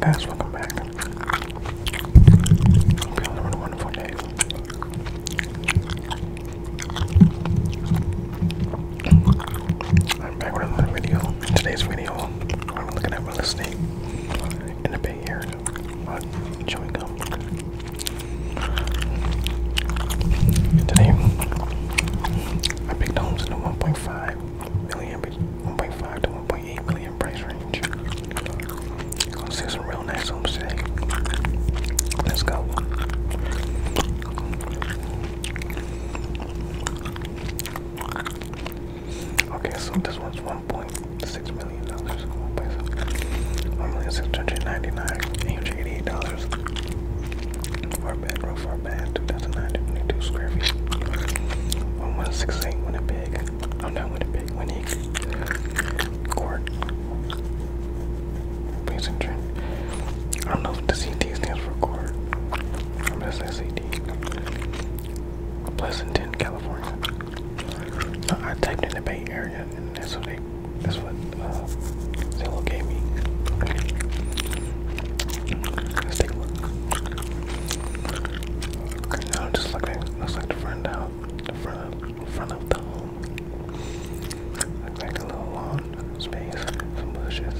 guys, welcome back. Hope a wonderful day. I'm back with another video. today's video, I'm looking at real estate in the Bay Area on chewing gum. Today, I picked homes in the 1.5 million, 1.5 to 1.8 million price range. Gonna see some real nice homes today. Let's go. Okay, so this one's 1.6 million dollars. 1 million six hundred ninety dollars floor bed, row 4 bath, 2,922 square feet. 1168 Winnipeg. I'm oh, not Winnipeg, Winnipeg. Court. Passenger. I don't know if the CT stands for court. I'm gonna say CT. Pleasanton, California. No, I typed in the Bay Area and that's what they, that's what uh, Zillow gave me. Let's take a look. Okay, now just looking, looks like the front out, the front, front of the home. Looks like a little lawn space, some bushes.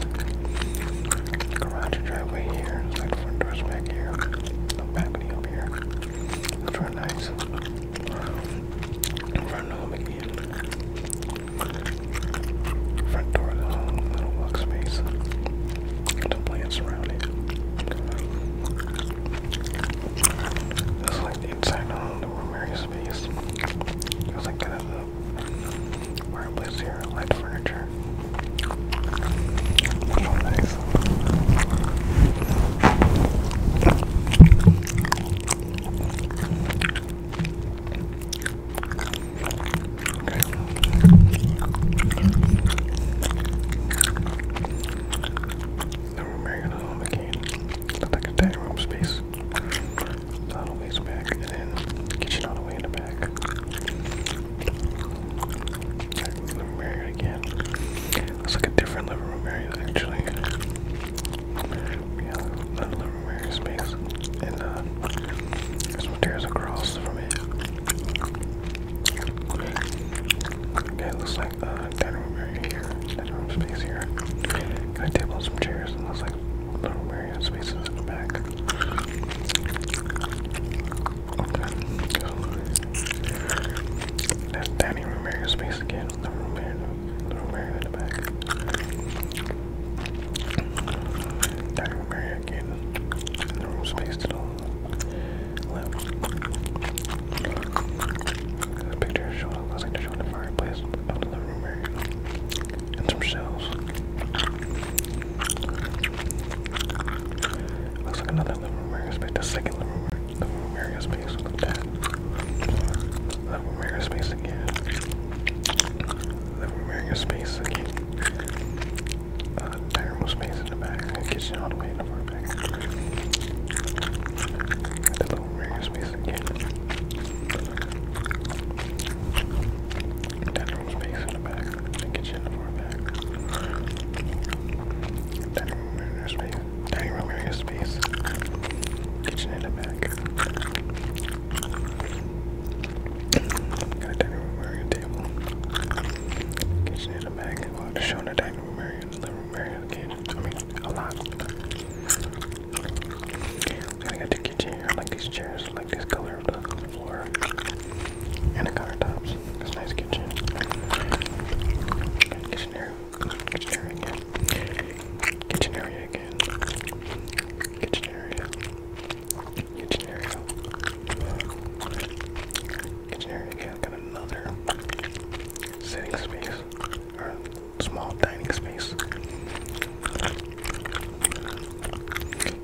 Garage driveway here. Looks front door's back here. No balcony over here. Looks real Front home Front door of the home, little walk space. plants around it. That's like the inside of home, the room space. There's like kind of the fireplace here, light furniture. Oh, nice. Now we're again. Look like a dining room space. So all way's back, and then kitchen all the way in the back. Living room again. Looks like a different living room area actually. yeah, another living room space, and uh, there's some tears across from it. Okay, it looks like the uh, dining room area here. Dining room space here. Got a table some chairs, looks like the room area spaces in the back. Okay, that's dining room area space again. The room area, the room area in the back. Dining room area back the room's space to the left. The picture looks like they're the fireplace up in the room area. And some shelves. Looks like another living room area The second living room, area space. Look that. Living room area space again. Living room area space again. Uh, diagonal space in the back, and kitchen all the way in the far back. The little rear space again. Dining space in the back, and kitchen in the far back. Dining room area space, dining room area space, kitchen in the back. Got a dining room area table. Kitchen is to show in the dining room area, the I got the chairs. I like this color of the floor and the countertops. It's a nice kitchen. Kitchen area. Kitchen area again. Kitchen area again. Kitchen area. Kitchen area. Kitchen area again. Got another sitting space or small dining space.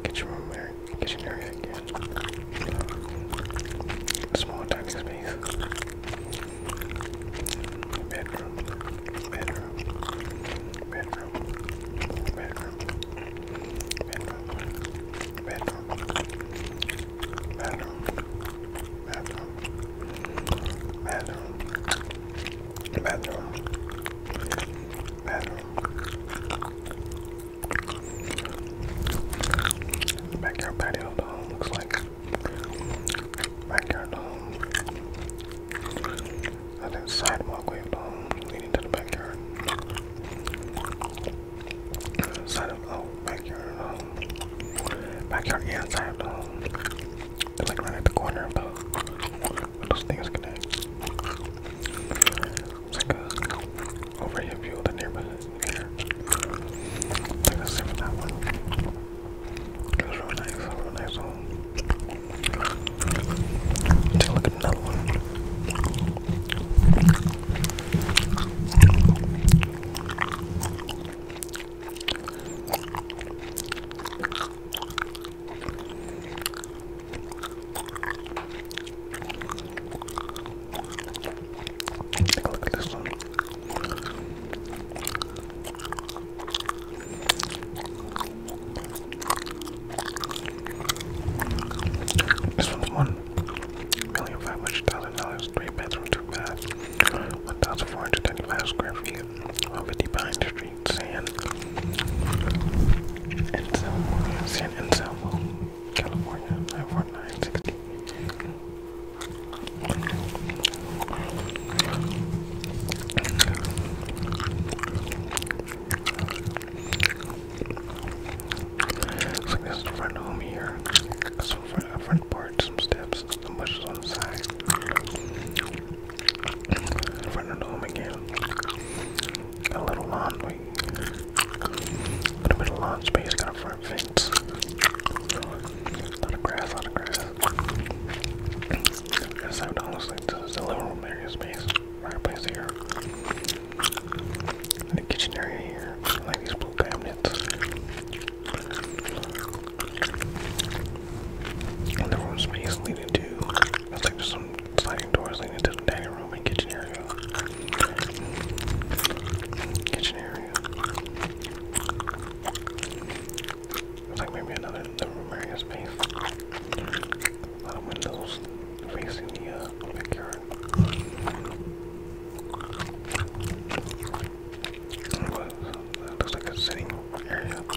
Kitchen room area. Kitchen area again. Small dining space. Bedroom. Bedroom. Bedroom. Bedroom bedroom, backyard patio dog looks like backyard dog. I think sidewalk way alone um, leading to the backyard. Side of the oh, backyard um, Backyard, yeah, side of um, the like right at the corner of the uh, those things connect. like a overhead view of the neighborhood here. I think that one. It was real nice, real nice home. Take a look at another one. Take a look at this one. This one's one million five hundred thousand dollars, three bedrooms, two baths. One thousand four hundred twenty-five square feet, one fifty behind the street, sand San Anselmo, California, nine four nine sixty. It's like this is the front home here. some front, front part, some steps, some bushes on the side. front of the home again. Got a little lawn, wait. A little of lawn space, got a front fence. A lot of grass, a lot of grass. Yes, I would honestly, this is the living room area space. Fireplace here the kitchen area here, like these blue cabinets. And the room space leading to, it's like there's some sliding doors leading to the dining room and kitchen area. Kitchen area. It's like maybe another room area space. A lot of windows facing the uh, backyard. looks like a sitting area. Looks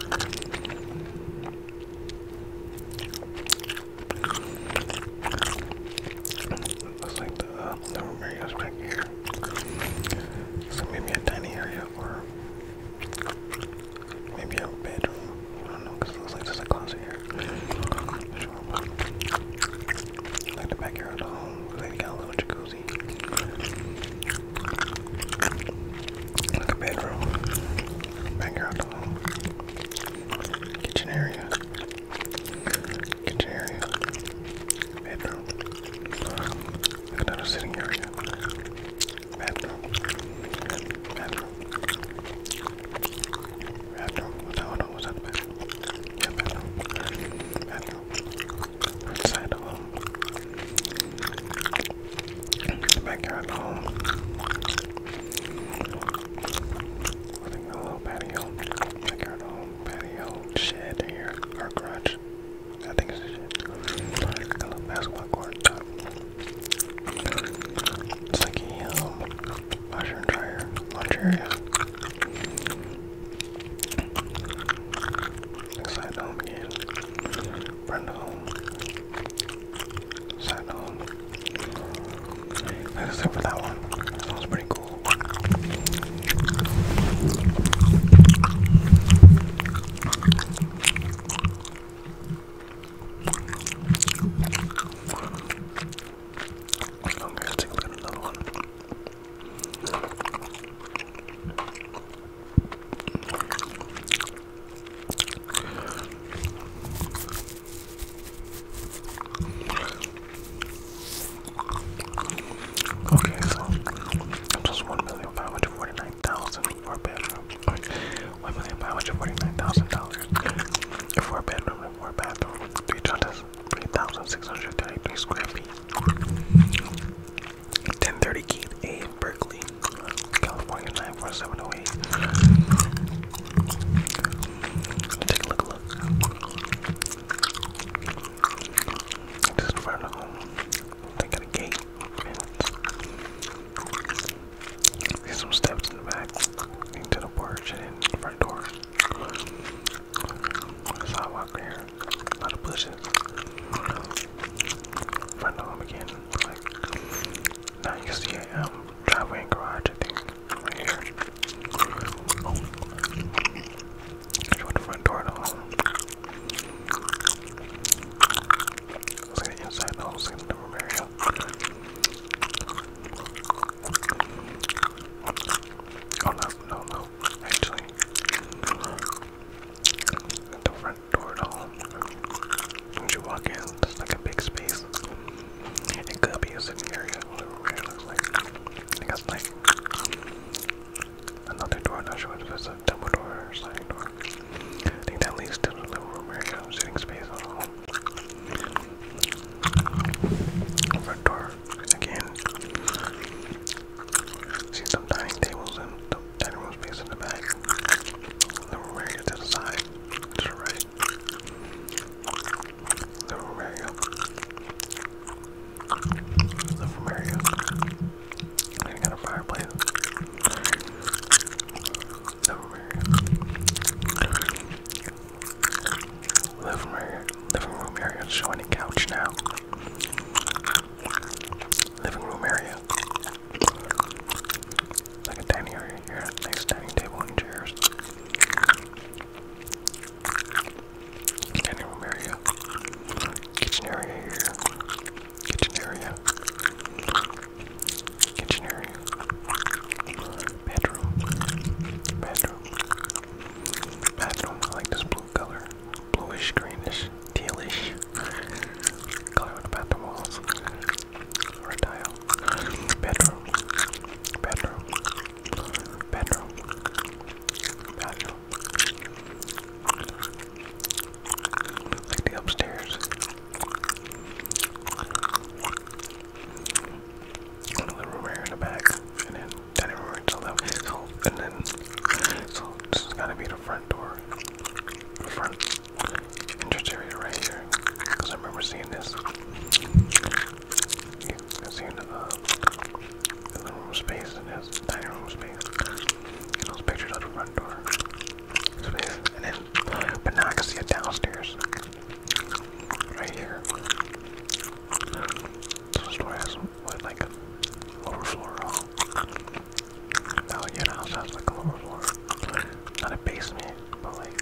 like the uh, living area is back here. So maybe a tiny area for Maybe a bedroom. I don't know, because it looks like there's a closet here. Sure. Like the backyard of home. Like they a little jacuzzi. Like a bedroom. Backyard of home. Kitchen area. Kitchen area. Bedroom. another sitting area. Bathroom. Bathroom. Hold on, hold on, was that the bathroom? Yeah, bathroom. Bathroom. Right side of home. Backyard of home. I think a little patio. Backyard of home, patio, shed here, or garage. I think it's a shed. A little basketball court top. It's like a um, washer and dryer laundry area. Inside home again. Friend home. Side home. let for that one. That sounds pretty cool. Okay, let's take so just one million five hundred forty-nine thousand for a bedroom one million five hundred forty-nine thousand dollars. Four bedroom and four bathroom, three thousand three thousand six hundred thirty-three square feet. Ten thirty Keith A Berkeley, California nine four seven zero oh eight. Take a look, look. Just in front of home. They got gate. See some steps in the back into the porch and in the front door. Sidewalk right here. A lot of bushes. Front home again. now you see a um, driveway and garage right here. Oh. Show the front door to home. Let's get inside the whole area. Oh no, no, no. Actually, at door at all. When you walk in, there's like a big space. It could be a sitting area, it looks like. I another door, not sure if it's a double door or sliding door. I think that leads to the living room area, sitting space over door again. See some dining tables and dining room space in the back. Little area to the side, to right. Little area. Little area. And got a fireplace. Little area. Living room, living room area, showing any couch now. Living room area, like a dining area here, nice dining table and chairs. Dining room area, kitchen area here, kitchen area, kitchen area, bedroom, bedroom, bathroom. I like this blue color, bluish, greenish, tealish color on the bathroom walls. Or tile. Bedroom, bedroom, bedroom, bathroom. Like the upstairs the living room area in the back, and then dining room area to So, and then, so this is got to be the front door, front entrance right here, because I remember seeing this. i seen the, uh, room space and this dining room space. those pictures of the front door and then, but now I can see it downstairs right here. This store has like a no, your house has like a not a basement, but like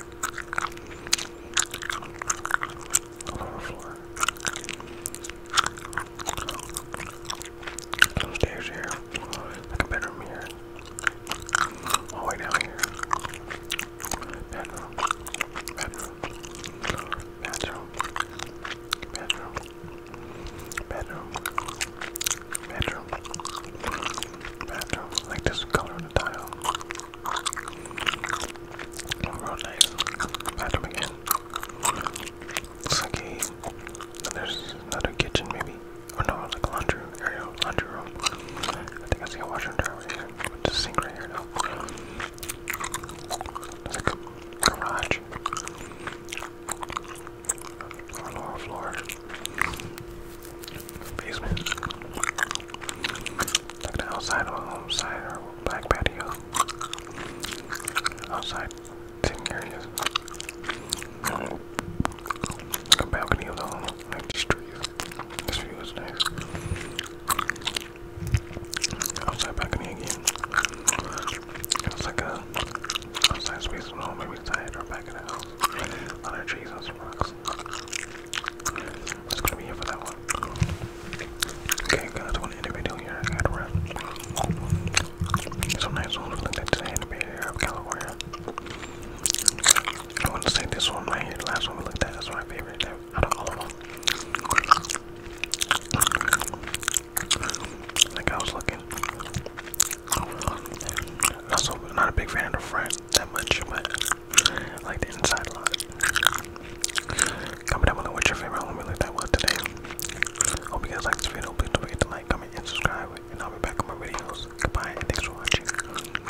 a stairs here, like a bedroom here, all the way down here bedroom, bedroom, bedroom, bedroom, bedroom, bedroom, bedroom. Like this color on the tile. Real nice. Bedroom again. Looks like a, there's another kitchen maybe. Or no, like laundry room. There you go, laundry room. I think I see a washer and dryer right here. With the sink right here now. There's like a garage. Or lower floor. Basement. Like the outside or home side or back patio. Outside sitting areas. Like a balcony of the home. Like the street. This view is nice. Outside balcony again. It's like a outside space maybe inside or back of the house. A trees and rocks. That's gonna be it for that one. Okay guys, I want video here. I wrap. Some nice ones for the day Area of California. I want to say this one right here. The last one we looked at is my favorite out of all of them. Like I was looking. Not not a big fan of the front that much, but I like the inside a lot. Comment down below what your favorite Let homie like that what today. Hope you guys liked this video. Please don't forget to like, comment, and subscribe. And I'll be back on my videos. Goodbye, and thanks for watching.